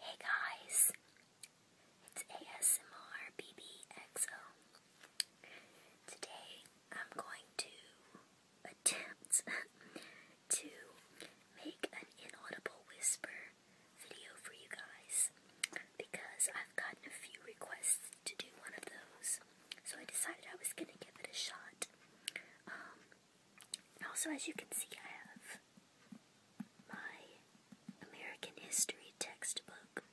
Hey guys, it's ASMR BBXO. Today I'm going to attempt to make an inaudible whisper video for you guys because I've gotten a few requests to do one of those. So I decided I was gonna give it a shot. Um, also, as you can see, I have my American history textbook.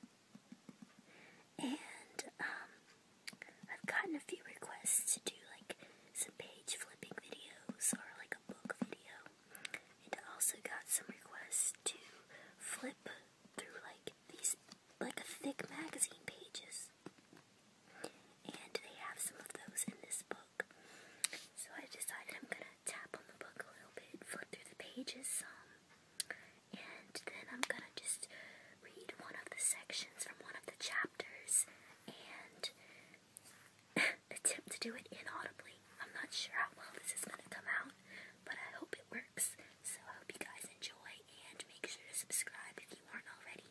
And um, I've gotten a few requests to do like some page flipping videos or like a book video. And I also got some requests to flip through like these like thick magazine pages. And they have some of those in this book. So I decided I'm gonna tap on the book a little bit, flip through the pages some, and then I'm gonna just read one of the sections from one of the chapters and attempt to do it inaudibly. I'm not sure how well this is gonna come out, but I hope it works. So I hope you guys enjoy and make sure to subscribe if you aren't already.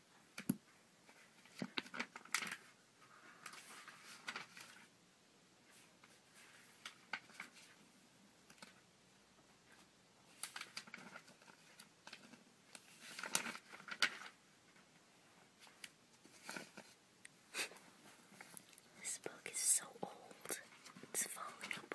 This book is so old, it's falling apart.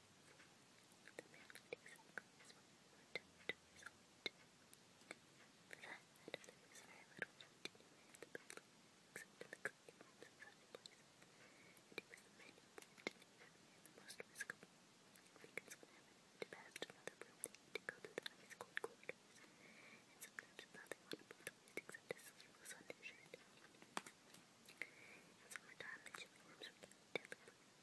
The magnetic circle is what we want to result. For that matter, there was very little left anywhere in the building, except in the cooking rooms and such places, and it was the men who lived in the area the most riskable. Because whenever they went past another room, they had to go through the ice cold corridors, and sometimes nothing on a boat was except a single undershirt. In summertime, the chilly rooms were kept deadly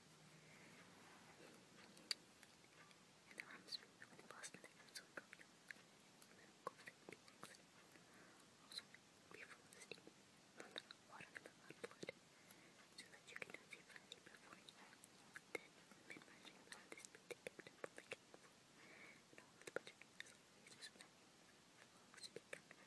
In the rooms with the Boston Times on Broadway, Also, be full water for the so that you cannot see Friday before Then, men marching on this beat to keep the public careful, and is always the town.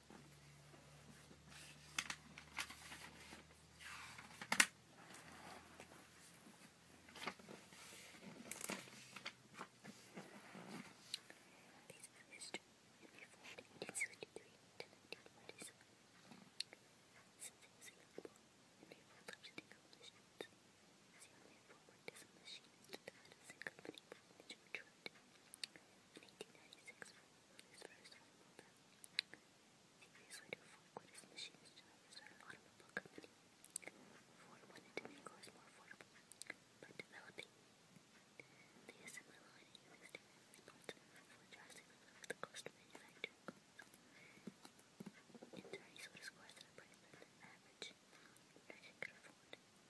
These images to be formed in 1863 to 1947. Something is available in people love to take up machines. As young man forward as a machinist at the Edison Company by the George his first home builder. automobile company. Ford wanted to make cars more affordable, but developing the assembly line Ford drastically lowered the cost of manufacturing cars. In turn, he sold could afford. Ford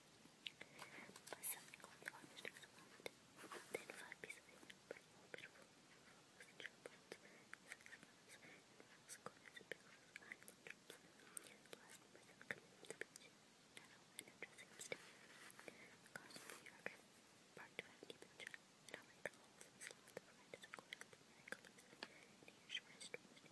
But something on the orange looks around. Then five pieces of pretty more beautiful flowers and chocolates, six flowers, and flowers, corners, and pickles, and drops. The last number that coming from the beach. Now, and a dressing upstairs. Across from New York, parked by the beach, and all my clothes and sleeves were red as a cloud, and I closed, and a short, strong, and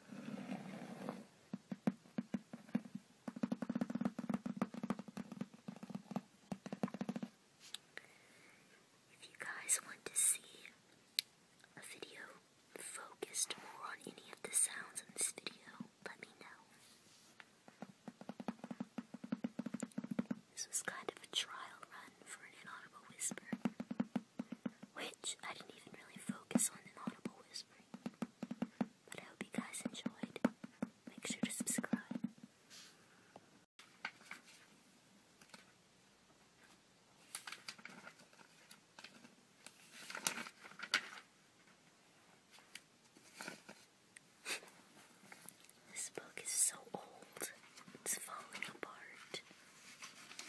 If you guys want to see a video focused more on any of the sounds in this video, let me know. This was kind of a trial run for an inaudible whisper which I didn't even really focus on in audible whispering. But I hope you guys enjoyed. Make sure to subscribe. this book is so old, it's falling apart.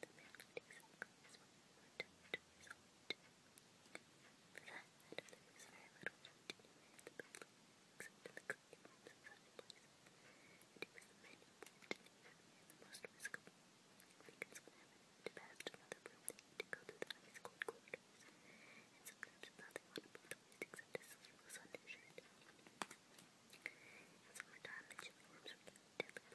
The magnetic silk is one more tough to result. For that matter, there is very little left anywhere in the building, except in the cooking rooms and such places, and it was the men who bought and the most riskable. Because when I went past another room, they had to go through the ice cold corridors, and sometimes nothing on above the waist except a sleeveless undershirt. In summertime, the chilly rooms were getting deadly.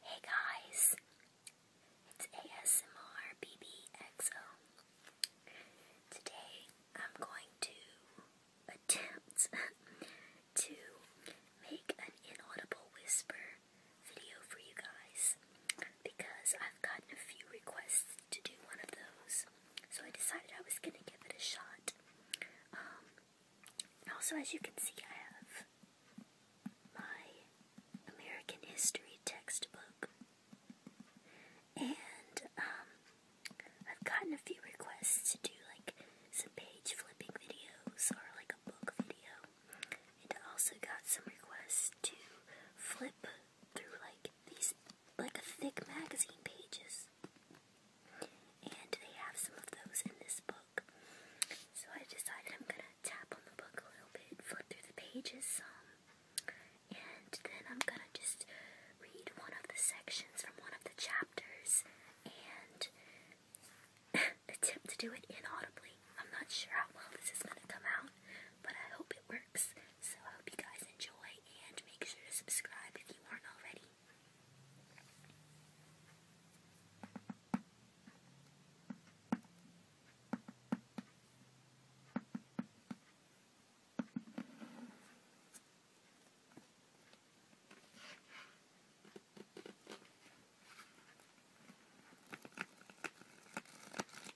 Hey guys, it's ASMR BBXO. Today I'm going to attempt to make an inaudible whisper video for you guys because I've gotten a few requests to do one of those. So I decided I was going to give it a shot. Um, also, as you can see, I have my American history textbook. And um, I've gotten a few requests to do like some page flipping videos or like a book video. And I also got some requests to flip through like these like thick magazine pages. And they have some of those in this book. So I decided I'm gonna tap on the book a little bit, flip through the pages and then I'm gonna just read one of the sections from one of the chapters and attempt to do it inaudibly. I'm not sure how well this is gonna come out, but I hope it works. So I hope you guys enjoy and make sure to subscribe if you aren't already.